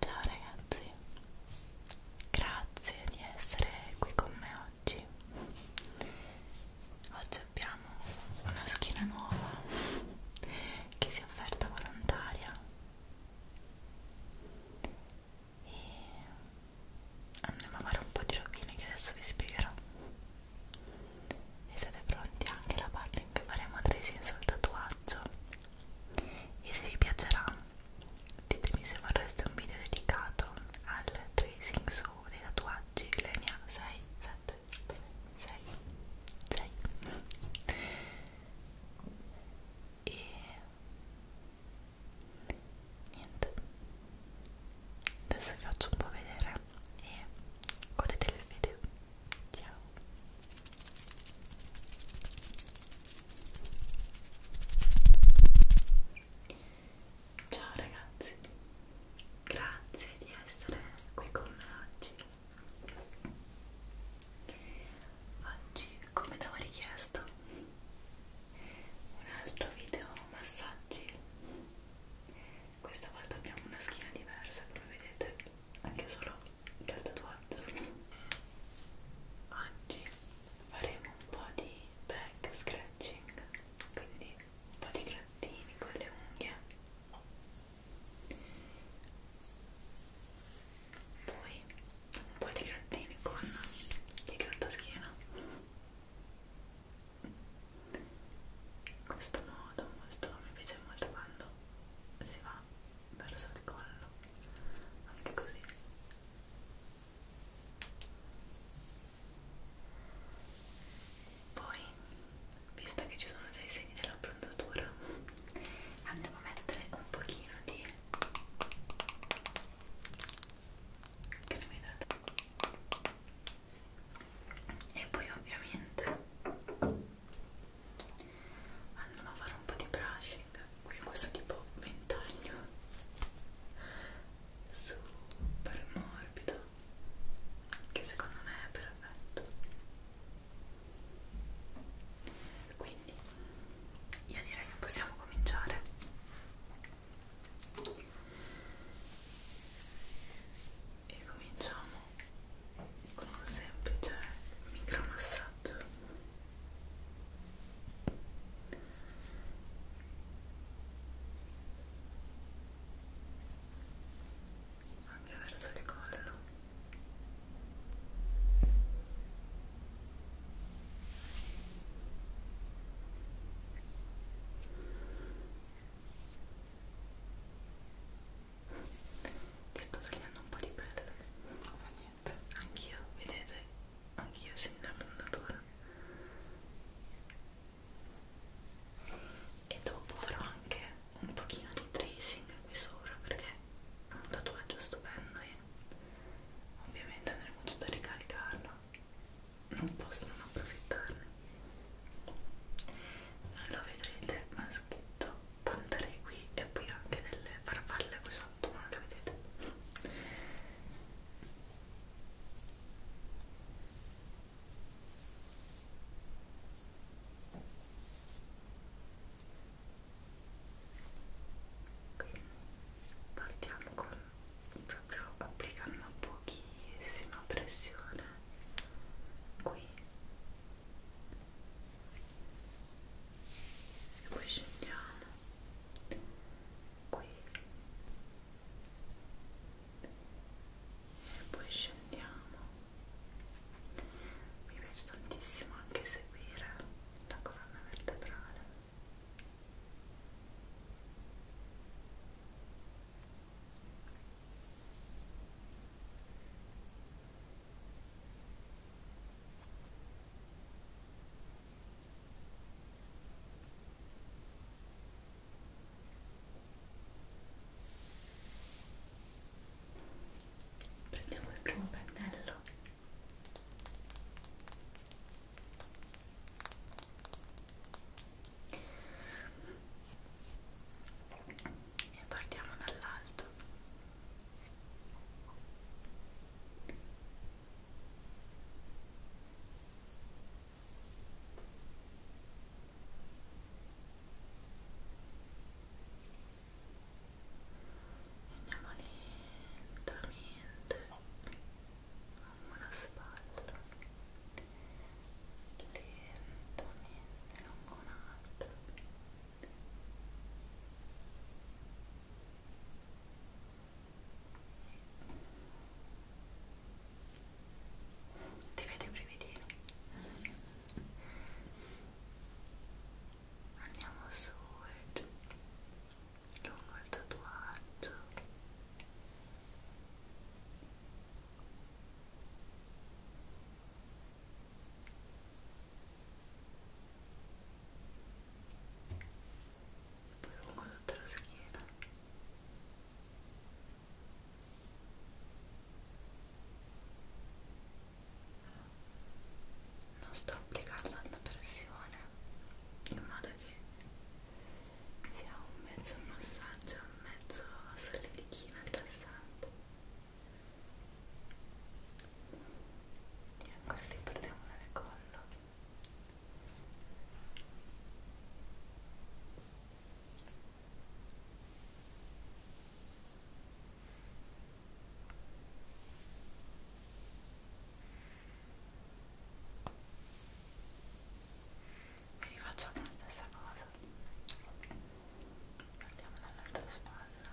Ciao ragazzi, grazie di essere qui con me oggi. Oggi abbiamo una schiena nuova che si è offerta volontaria e andremo a fare un po' di rovine che adesso vi spiegherò e siete pronti anche alla parte in cui faremo tracing sul tatuaggio e se vi piacerà ditemi se vorreste un video dedicato al tracing su dei tatuaggi le ne ha 6, 7, 6, 6 e niente adesso vi faccio un po' vedere e godetevi il video ciao ciao ragazzi grazie di essere qui con me oggi oggi come avevo richiesto un altro video massaggi questa volta abbiamo una schiena diversa come vedete anche solo dal tatuaggio oggi faremo un po' di back scratching quindi un po' di grattini con le unghie poi un po' di grattini con il grattaschino in questo modo molto, mi piace molto quando si va verso il collo anche così poi visto che ci sono già i segni dell'abbronzatura andiamo a mettere un pochino di che ne mi date e poi ovviamente andiamo a fare un po' di brushing qui questo tipo ventaglio super morbido che secondo me è perfetto quindi io direi che possiamo cominciare e cominciamo con un semplice micromassaggio anche verso il collo ti sto tagliando un po' di pelle, come niente. Anch'io, vedete, anch'io sembra fondatura. E dopo farò anche un pochino di tracing qui sopra perché un tatuaggio stupendo e ovviamente andremo tutto a ricalcarlo non posso non approfittarne non lo vedrete ma è scritto pantare qui e poi anche delle farfalle qui sotto ma non le vedete quindi partiamo con proprio applicando pochissima pressione qui e poi scendiamo qui e poi scendiamo mi piace tantissimo anche seguire la colonna vertebrale prendiamo il primo pennello e partiamo dall'alto e Andiamo lentamente lungo la spalla, lentamente lungo un'altra. Ti vedo i brividini? andiamo su e giù lungo il tatuaggio poi lungo tutta la schiena e non sto applicando tanta pressione in modo che sia un mezzo massaggio un mezzo solidichino rilassante e ancora li portiamo nel collo mi rifacciamo la stessa cosa partiamo dall'altra spalla ok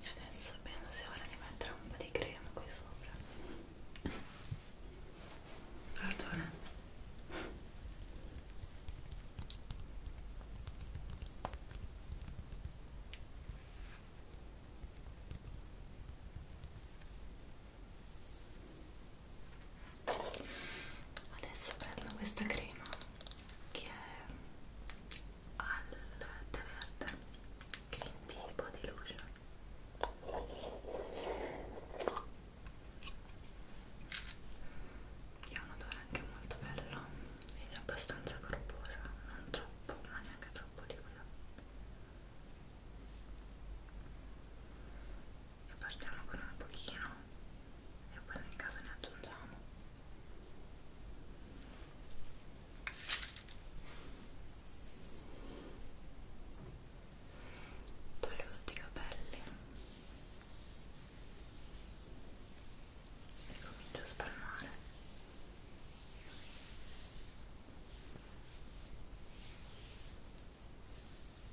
E adesso penso sia ora di mettere un po' di crema qui sopra. Pardona adesso prendo questa crema che è al tè verde green tea body lotion che ha un odore anche molto bello ed è abbastanza corposa non troppo ma neanche troppo liquida e partiamo con un pochino e poi nel caso ne aggiungiamo toglio tutti i capelli e comincio a spalmare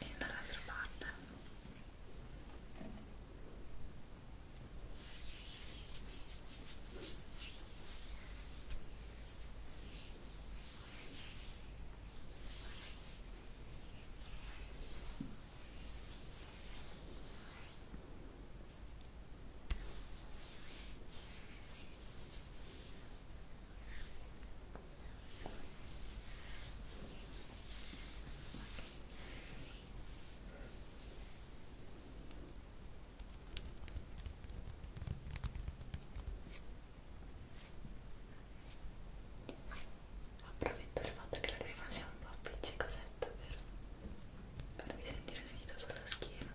e dall'altra parte Approfitto del fatto che la crema sia un po' appiccicosetta per farvi sentire le dita sulla schiena.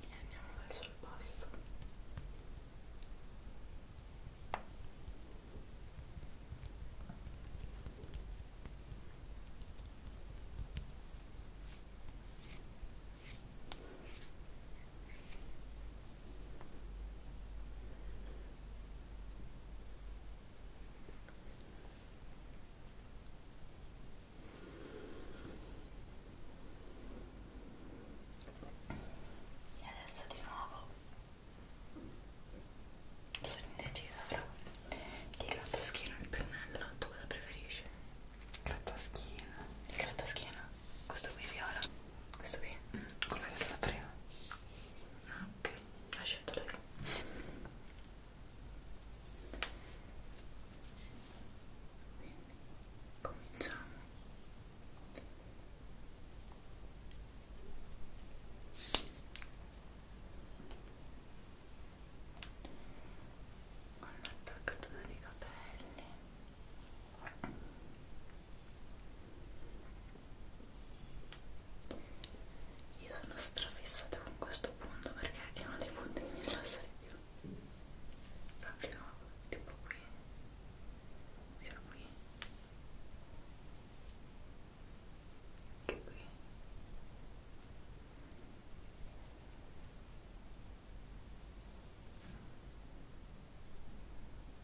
e andiamo verso il basso e adesso di nuovo sono indecisa fra il grattaschino e il pennello tu cosa preferisci? grattaschino il grattaschino? questo qui viola? questo qui? Mm, quello che è stato prima? no anche ha scelto lei quindi cominciamo con l'attaccatura dei capelli io sono strafissata con questo punto perché è uno dei punti che mi rilassa di più. Proprio tipo qui. Sia qui. Che qui.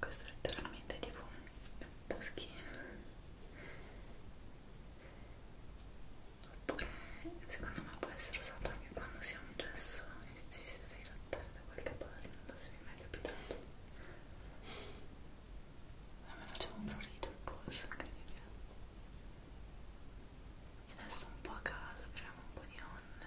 questo è letteralmente tipo un taschino oppure secondo me può essere usato anche quando si ha un gesso e ci si deve grattare da qualche parte non so se vi è mai capitato a me faceva un prurito il polso incredibile e adesso un po' a caso creiamo un po' di onde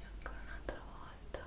e ancora un'altra volta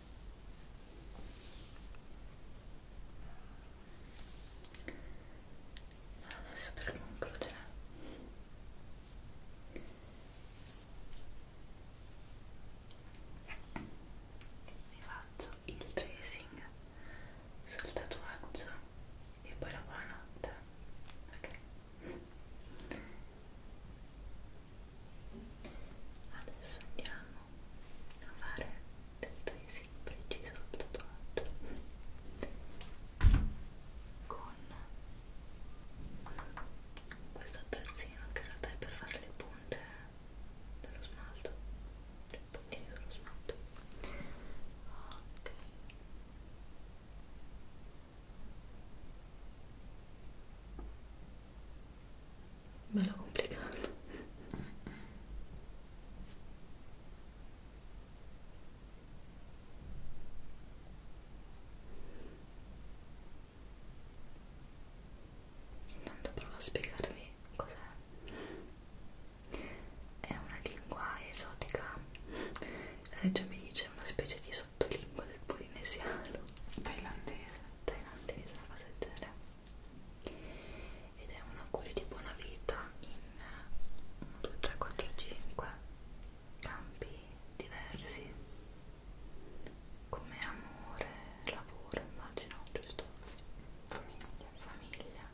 Adesso per concludere vi faccio il tracing sul tatuaggio e poi la buonanotte ok adesso andiamo a fare del tracing preciso sul tatuaggio con questo attrezzino che in realtà è per fare le punte dello smalto i puntini dello smalto ok ok bello complicato mm -mm. intanto provo a spiegarvi cos'è è una lingua esotica la regia mi dice una specie di sottolingua del polinesiano thailandese thailandese, una cosa del genere ed è un augurio di buona vita in 1, 2, 3, 4, 5 campi diversi come amore, lavoro, immagino, giusto? Famiglia, famiglia.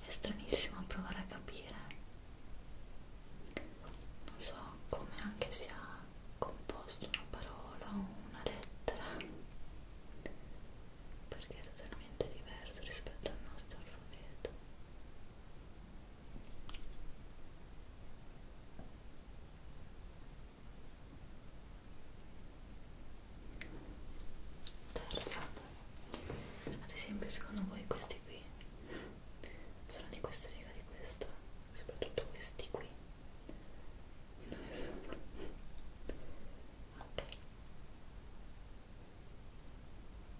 È stranissimo provare a capire, non so come anche sia composto una parola o una lettera, perché è totalmente diverso rispetto al nostro alfabeto terza ad esempio secondo voi questi qui sono di questa riga di questa soprattutto questi qui dove sono? ok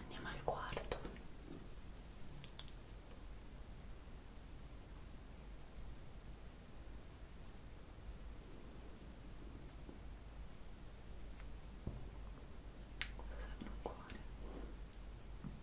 Andiamo al quarto. Cosa sembra un cuore?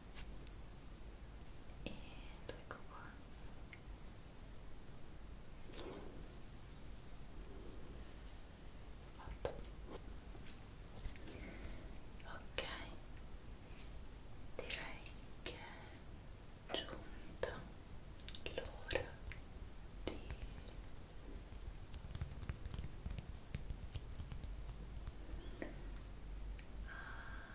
ed ecco qua Fatto. ok direi che è giunta l'ora di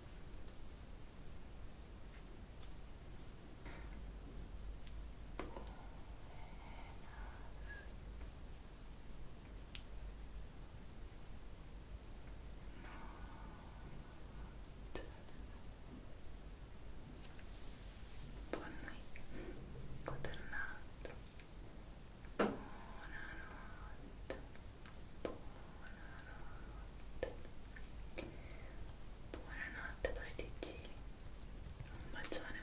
Buonanotte. Buonanotte. Buonanotte. Buonanotte pasticcini. Un bacione.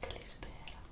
Te li spero.